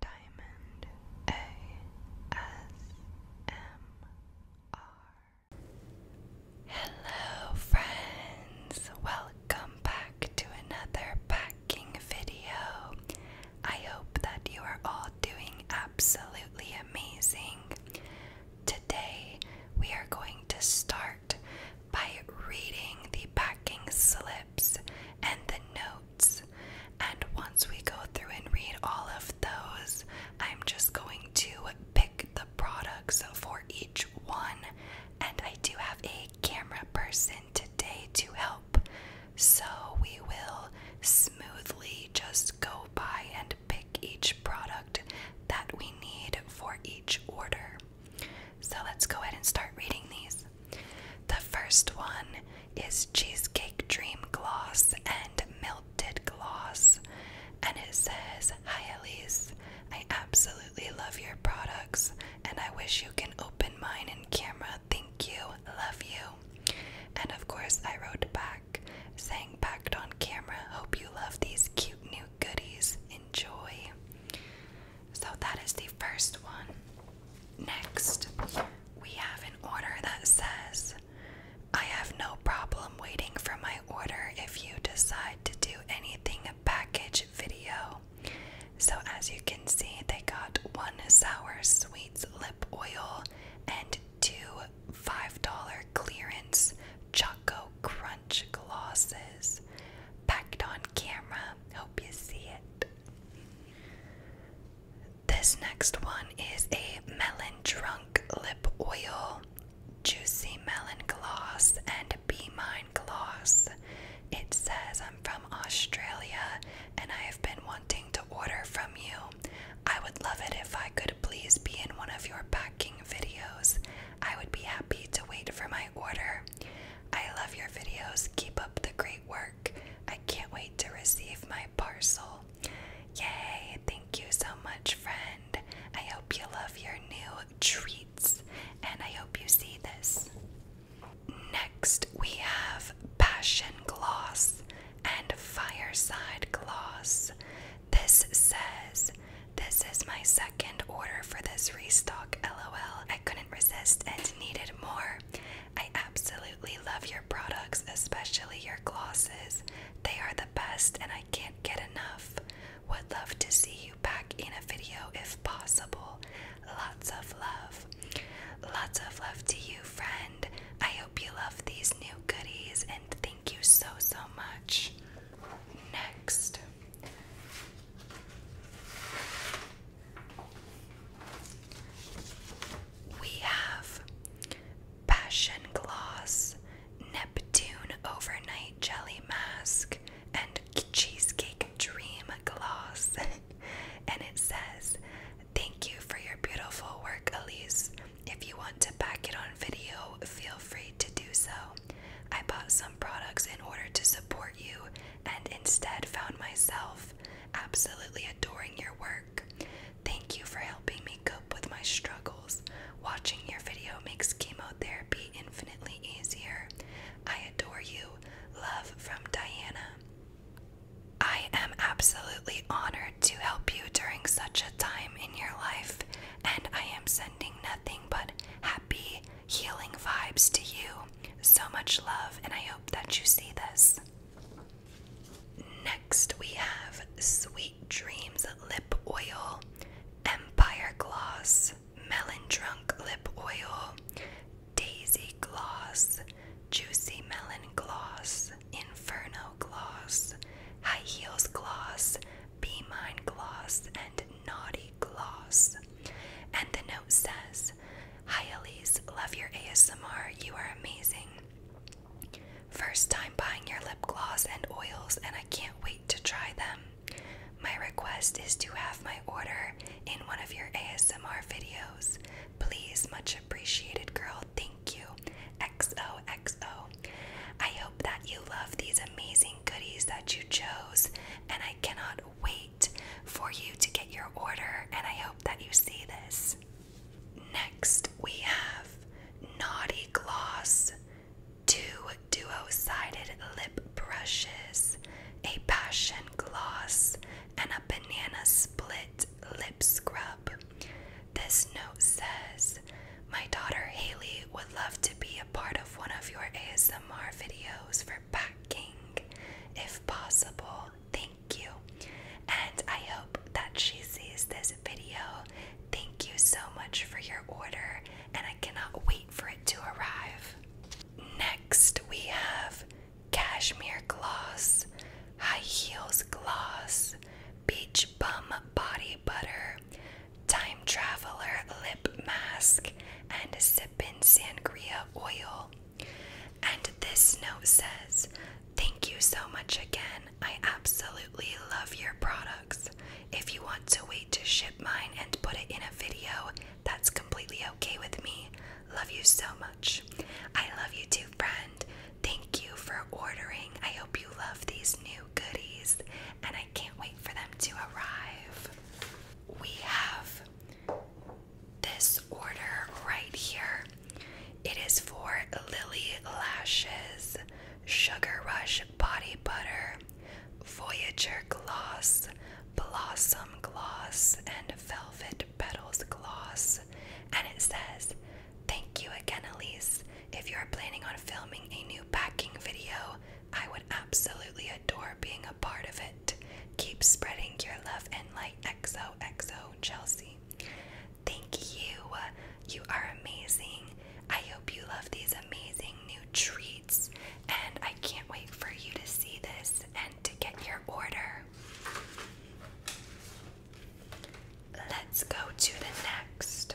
Diamond ASMR. Hello, friends! Welcome back to another packing video. I hope that you are all doing absolutely amazing. Today, we are going to start by reading the packing slips and the note and once we go through and read all of those, I'm just going to pick the products for each one. And I do have a camera person today to help. So we will smoothly just go by and pick each product that we need for each order. So let's go ahead and start reading these. The first one is Cheesecake Dream Gloss and Melted Gloss, and it says, Hi Elise, I absolutely love your products, and I wish you can open mine in camera. Thank you, love you. And of course, I wrote back, saying, "Packed on camera, hope you love these cute new goodies. Enjoy. So that is the first one. Next, we have an order that says, I have no problem waiting for my order if you decide to do anything package video. So, as you can see, they got one sour sweets lip oil and two $5 clearance Choco Crunch glosses. Packed on camera. Hope you see it. This next one is a melon drunk lip oil, juicy melon gloss, and Be Mine gloss. It says, I'm from Australia and I have been wanting to order from you. I would love it if I could please be in one of your packing videos. I would be happy to wait for my order. I love your videos. Keep up the great work. I can't wait to receive my parcel. Yay! Thank you so much, friend. I hope you love your new treats and I hope you see this. Next, we have Passion Gloss and Fireside Gloss. This says, This is my second order for this restock, lol. I couldn't resist and needed more. I absolutely love your products, especially your glosses. They are the best and I can't get enough. Would love to see you back in a video if possible. Lots of love. Lots of love to you, friend. I hope you love these new goodies and thank you so, so much. Next, we have Passion Gloss, Neptune Overnight Jelly Mask, and Cheesecake Dream Gloss. and it says, Thank you for your beautiful work, Elise. If you want to back it on video, feel free to do so. I bought some products in order to support you and instead found myself absolutely adoring your work. Thank you for helping me cope with my struggles. Watching your video makes chemotherapy infinitely easier. I adore you. Love from Diana. I am absolutely honored to help you during such a time in your life, and I am sending nothing but happy, healing vibes to you so much love, and I hope that you see this. Next, we have Sweet Dreams Lip Oil, Empire Gloss, Melon Drunk Lip Oil, Daisy Gloss, Juicy Melon Gloss, Inferno Gloss, High Heels Gloss, Be Mine Gloss, and Naughty Gloss. And the note says, Hi Elise, love your ASMR. You are amazing. First time buying your lip gloss and oils, and I can't wait to try them. My request is to have my order in one of your ASMR videos. Please, much appreciated, girl. Thank you. XOXO. I hope that you love these amazing goodies that you chose, and I I cannot wait for you to get your order, and I hope that you see this. Next, we have Naughty Gloss, two duo sided lip brushes, a passion gloss, and a banana split lip scrub. This note says, My daughter Haley would love to be a part of one of your ASMR videos for for if possible. Thank you. And I hope that she sees this video. Thank you so much for your order, and I cannot wait for it to arrive. Next, we have cashmere gloss, high heels gloss, beach bum body butter, time traveler lip mask, and sippin' sangria oil. And this note says, Thank you so much again. I absolutely love your products. If you want to wait to ship mine and put it in a video, that's completely okay with me. Love you so much. I love you too, friend. Thank you for ordering. I hope you love these new goodies and I can't wait for them to arrive. We have this order right here. It is for Lily Lashes, Sugar Rush Body Butter, Voyager Gloss, Blossom Gloss, and Velvet Petals Gloss. And it says, Thank you again, Elise. If you are planning on filming a new packing video, I would absolutely adore being a." part of it. Keep spreading your love and light. Xo xo, Chelsea. Thank you. You are amazing. I hope you love these amazing new treats. And I can't wait for you to see this and to get your order. Let's go to the next.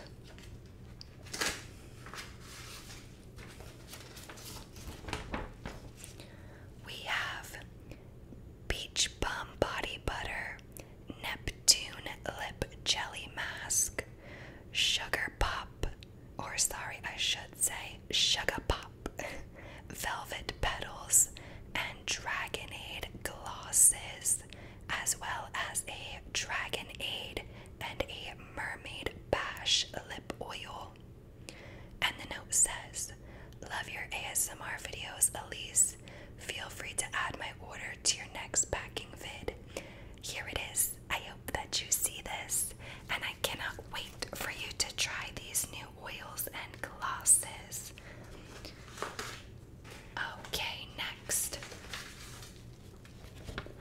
We have Peach Bum Body Butter, Neptune Lip Jelly Mask, Sugar Pop, or sorry, I should say Sugar Pop, Velvet Petals, and Dragonade Glosses, as well as a Dragonade and a Mermaid Bash Lip Oil. And the note says, Love your ASMR videos, Elise. Feel free to add my order to your next packing vid. Here it is. I hope that you see this, and I cannot wait for you to try these new oils and glosses. Okay, next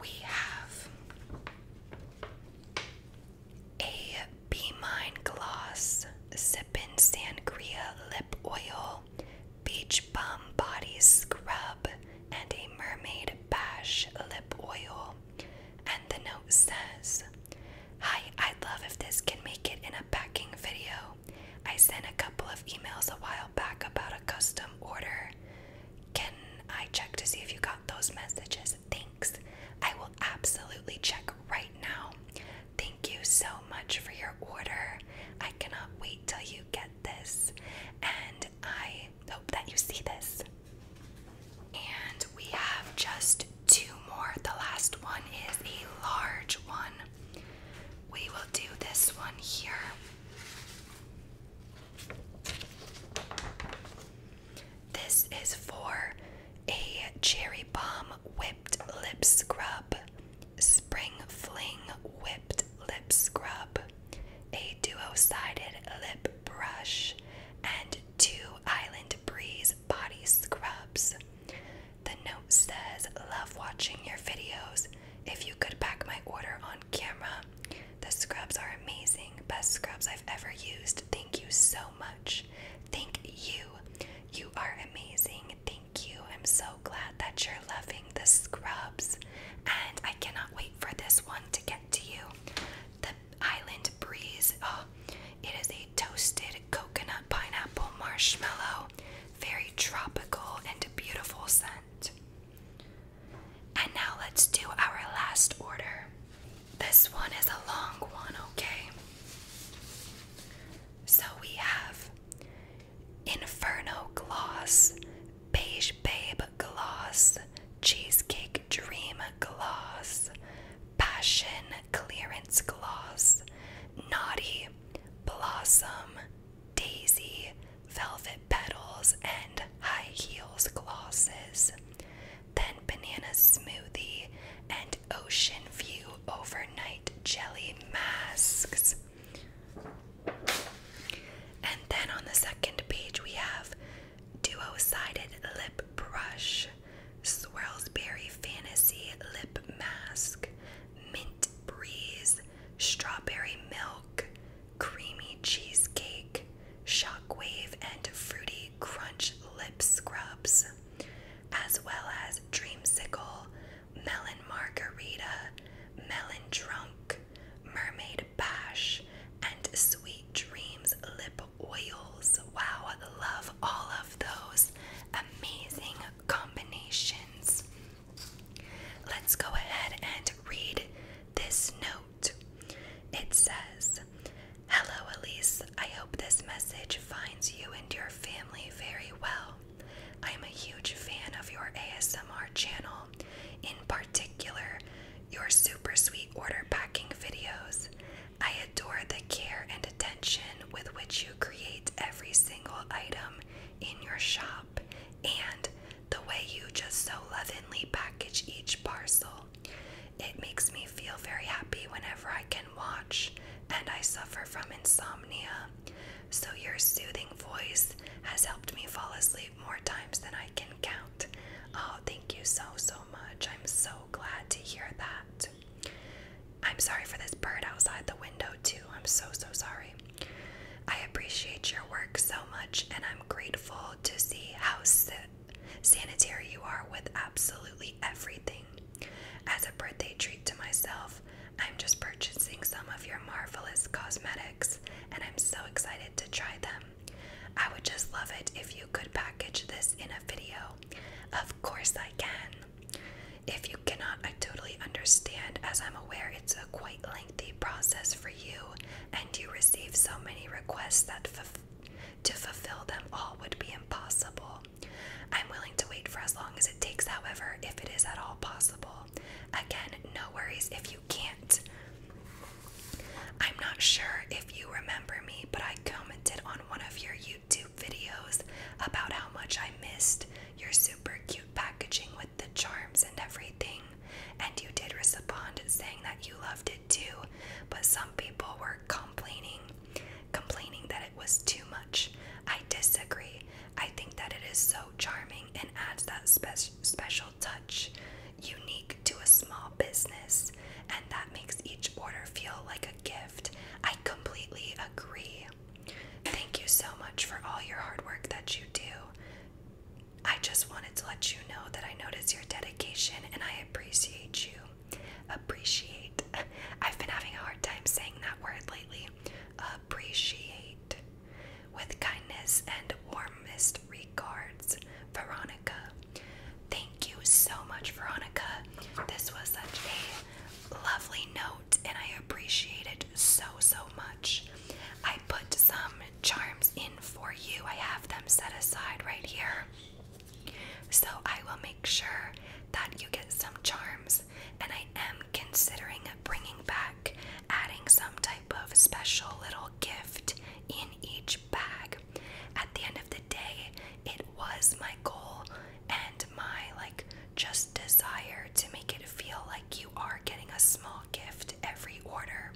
we have a Be Mine Gloss, Sippin' Sangria Lip Oil, Beach Bum Body Scrub, and a Mermaid Bash Lip Oil. And the note says, Hi, I'd love if this can make it in a packing video. I sent a couple of emails a while back about a custom order. Can I check to see if you got those messages? Thanks. I will absolutely check right now. Thank you so much for your order. I cannot wait till you get this. And I hope that you see this. And we have just two more. The last one is a large one. We will do this one here. This is for a Cherry Bomb Whipped Lip Scrub, Spring Fling Whipped Lip Scrub, a duo sided lip brush, and two Island Breeze body scrubs. The note says, Love watching your videos. If you could back my order on camera, the scrubs are amazing. Best scrubs I've ever used. Thank you so much. Thank you. You are amazing. Thank you. I'm so glad that you're loving the scrubs. And I cannot wait for this one to get to you. The Island Breeze. Oh, it is a toasted coconut pineapple marshmallow. Very tropical and beautiful scent. And now let's do our last order. This one is a long one, okay? So we have Inferno Gloss, Beige Babe Gloss, Cheesecake Dream Gloss, Passion Clearance Gloss, Naughty, Blossom, Daisy, Velvet Petals, and High Heels Glosses then banana smoothie, and ocean view overnight jelly masks. And then on the second page, we have duo sided lip brush, swirls berry fantasy lip mask, mint breeze, strawberry milk, creamy cheesecake, shockwave, and fruity Crunch Lip Scrubs, as well as Dreamsicle, Melon Margarita, Melon Drunk, Mermaid Bash, and Sweet Dreams Lip Oils. Wow, love all of those amazing combinations. Let's go ahead and read this note. It says, Hello, Elise. I hope this message finds you and your family very well. I am a huge fan of your ASMR channel, in particular, your super sweet order packing videos. I adore the care and attention with which you create every single item in your shop and the way you just so lovingly package each parcel. It makes me feel very happy whenever I can watch, and I suffer from insomnia. So, your soothing voice has helped me fall asleep more times than I can count. Oh, thank you so, so much. I'm so glad to hear that. I'm sorry for this bird outside the window, too. I'm so, so sorry. I appreciate your work so much, and I'm grateful to see how, Sanitary you are with absolutely everything. As a birthday treat to myself, I'm just purchasing some of your marvelous cosmetics and I'm so excited to try them. I would just love it if you could package this in a video. Of course, I can. If you cannot, I totally understand, as I'm aware it's a quite lengthy process for you and you receive so many requests that to fulfill them all would be impossible. I'm willing to wait for as long as it takes, however, if it is at all possible. Again, no worries if you can't. I'm not sure if you remember me, but I commented on one of your YouTube videos about how much I missed your super cute packaging with the charms and everything. And you did respond saying that you loved it did but some people were complaining, complaining that it was too much. I disagree. I think that it is so charming and adds that special touch, unique to a small business, and that makes each order feel like a gift. I completely agree. Thank you so much for all your hard work that you do. I just wanted to let you know that I notice your dedication and I appreciate you. Appreciate. I've been having a hard time saying that word lately. Appreciate. With kindness and warmest regards, Veronica. Thank you so much, Veronica. This was such a lovely note and I appreciate it so, so much. I put some charms in for you. I have them set aside right here. So I will make sure that you get some charms, and I am considering bringing back, adding some type of special little gift in each bag. At the end of the day, it was my goal and my like just desire to make it feel like you are getting a small gift every order.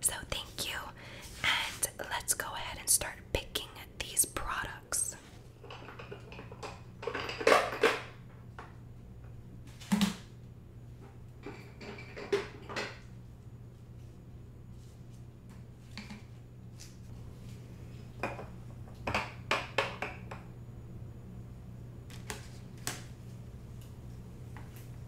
So thank you, and let's go ahead and start picking these products.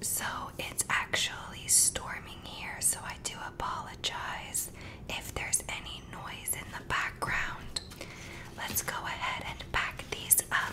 So it's actually storming here, so I do apologize if there's any noise in the background. Let's go ahead and pack these up.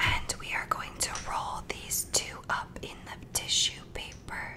And we are going to roll these two up in the tissue paper.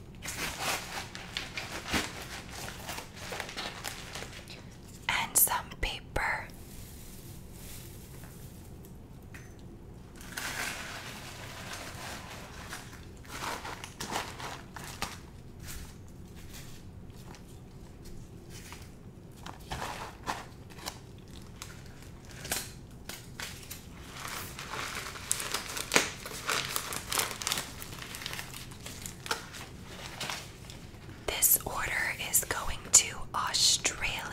and some paper. This order is going to Australia.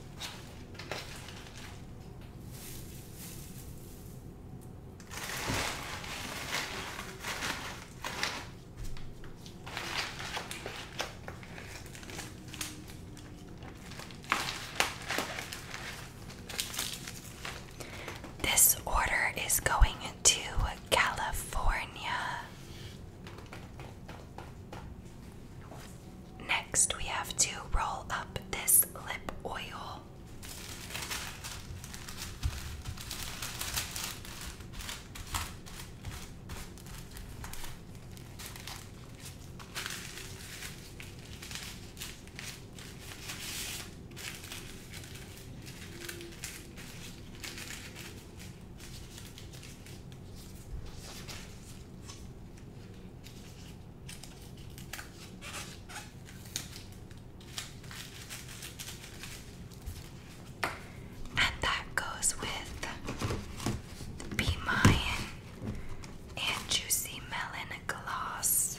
This order is going to California. Next, we have to roll up this lip oil. And that goes with the Be and Juicy Melon Gloss.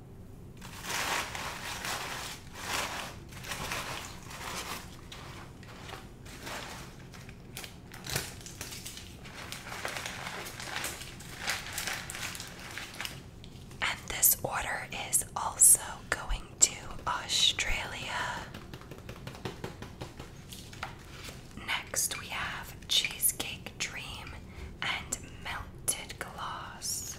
And this order is also going to Australia. Next, we have Cheesecake Dream and Melted glass.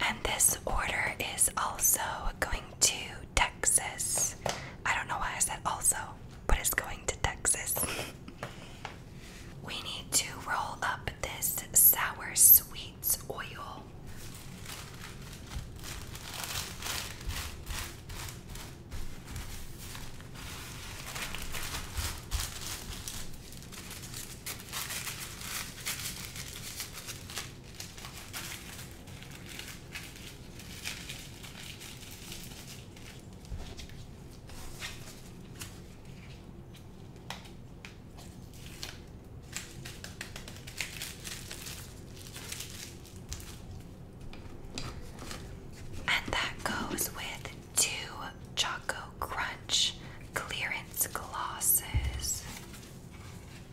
And this order is also going to. Texas. I don't know why I said also, but it's going to Texas. we need to roll up this sour sweets oil. And that goes with two Choco Crunch clearance glasses.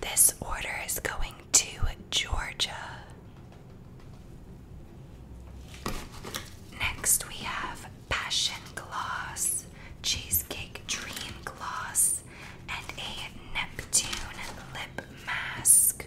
This order is going to Georgia. Next, we have Passion Gloss, Cheesecake Dream Gloss, and a Neptune Lip Mask.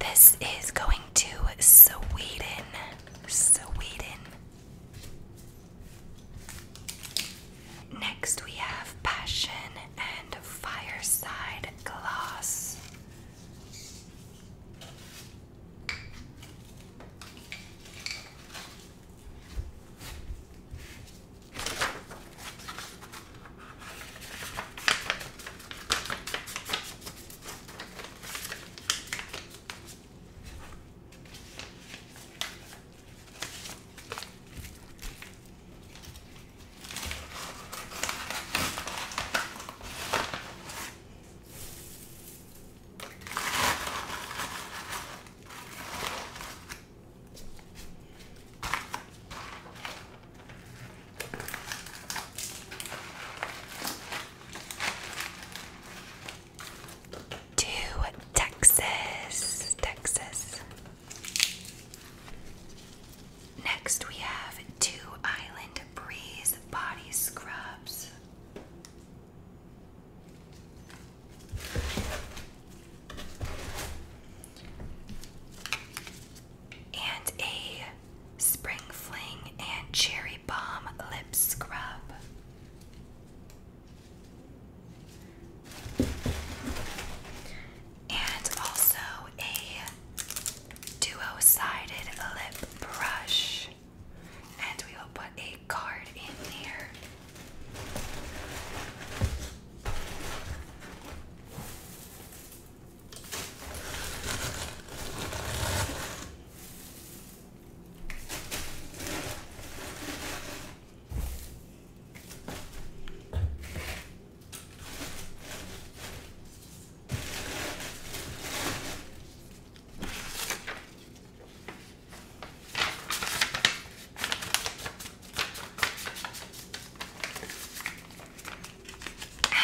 This is going to Sweden, Sweden. Next, we have Passion and Fireside Gloss. To Texas, Texas. Next, we have two Island Breeze body scrubs. And a Spring Fling and Cherry Bomb lip scrub and also a duo sided lip brush. And we will put a card in here.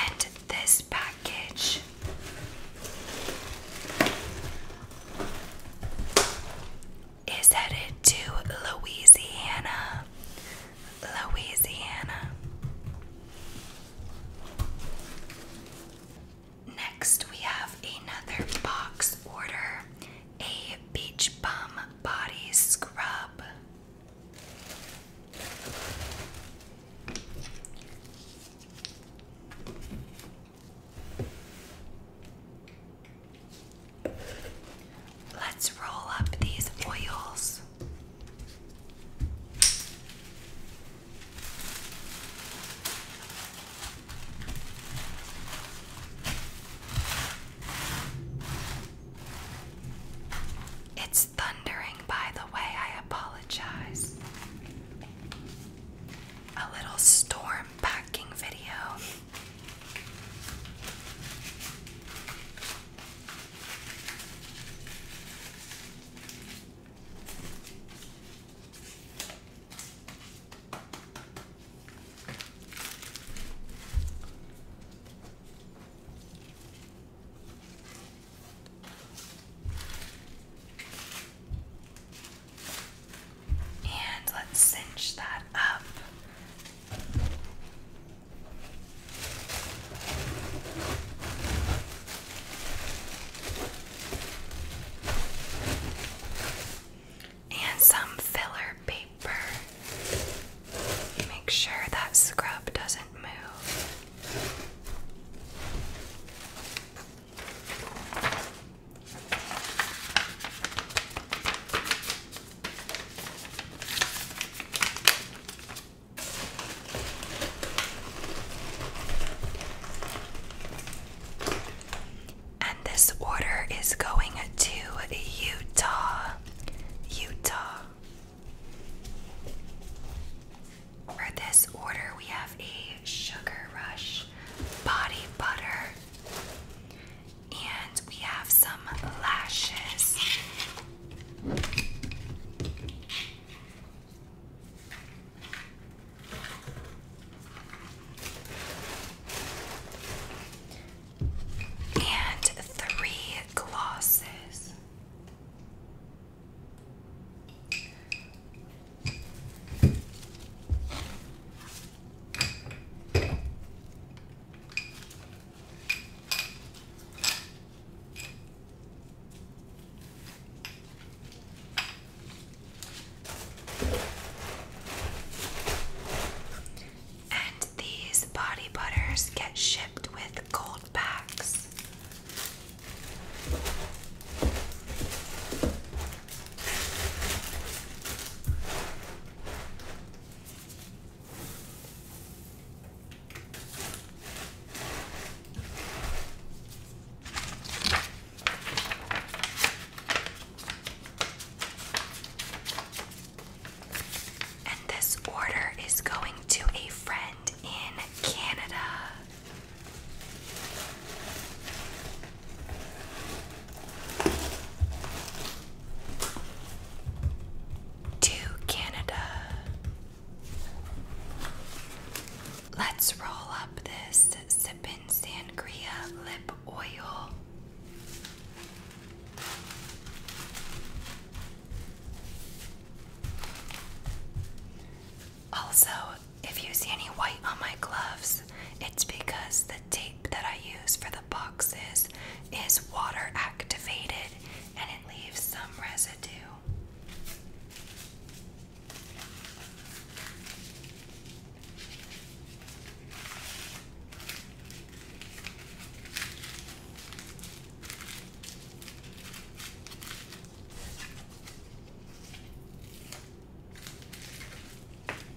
And this package is headed to Louisiana Louisiana. Next, we have another box order a beach bum body scrub. Let's roll up these oils. It's thundering, by the way, I apologize. A little storm packing video. And let's cinch that up. And some filler paper. Make sure that scrub doesn't move. And this order is going to Utah, Utah. For this order, we have a Sugar Rush Body Butter. And we have some lashes. And three glosses. And these body butters get shipped with gold packs. And this order is going to a friend in Canada to Canada. Let's roll up this Sippin' Sangria lip oil. Also, if you see any white on my gloves, it's because the tape that I use for the boxes is water activated and it leaves some residue.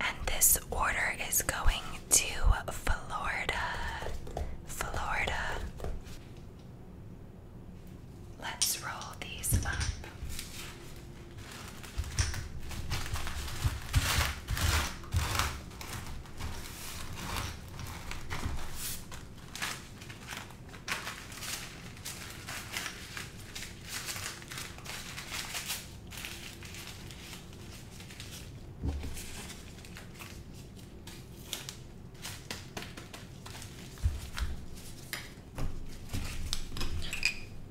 And this order is going to Florida. Florida. Let's roll these up.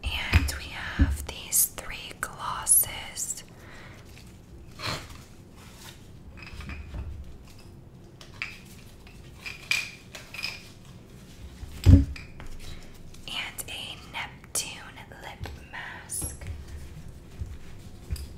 And we have these three glosses. And a Neptune lip mask.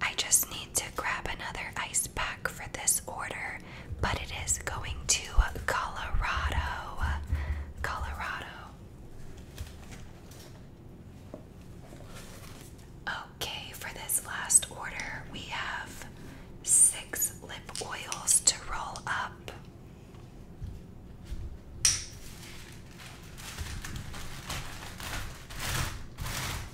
I just need to grab another ice pack for this order, but it is going to Colorado. Colorado. Okay, for this last order, we have six lip oils to roll up.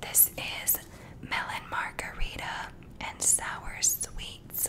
This is melon margarita and sour sweets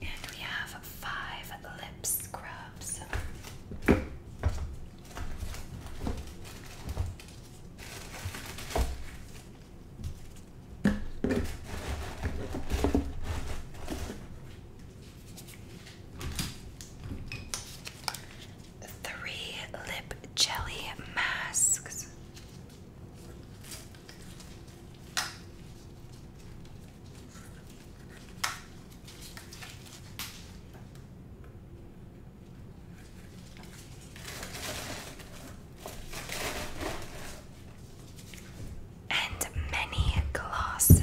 And we have five lip scrubs up some three lip jelly masks and many glasses.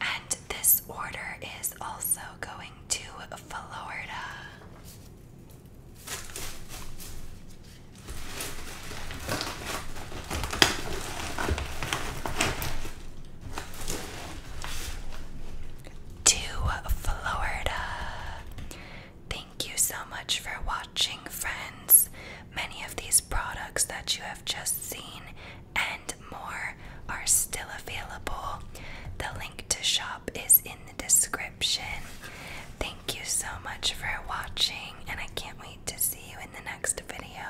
And this order is also going to Florida to Florida. Thank you so much for watching, friends. Many of these products that you have just seen and more are still available. The link to shop is in the description. Thank you so much for watching, and I can't wait to see you in the next video.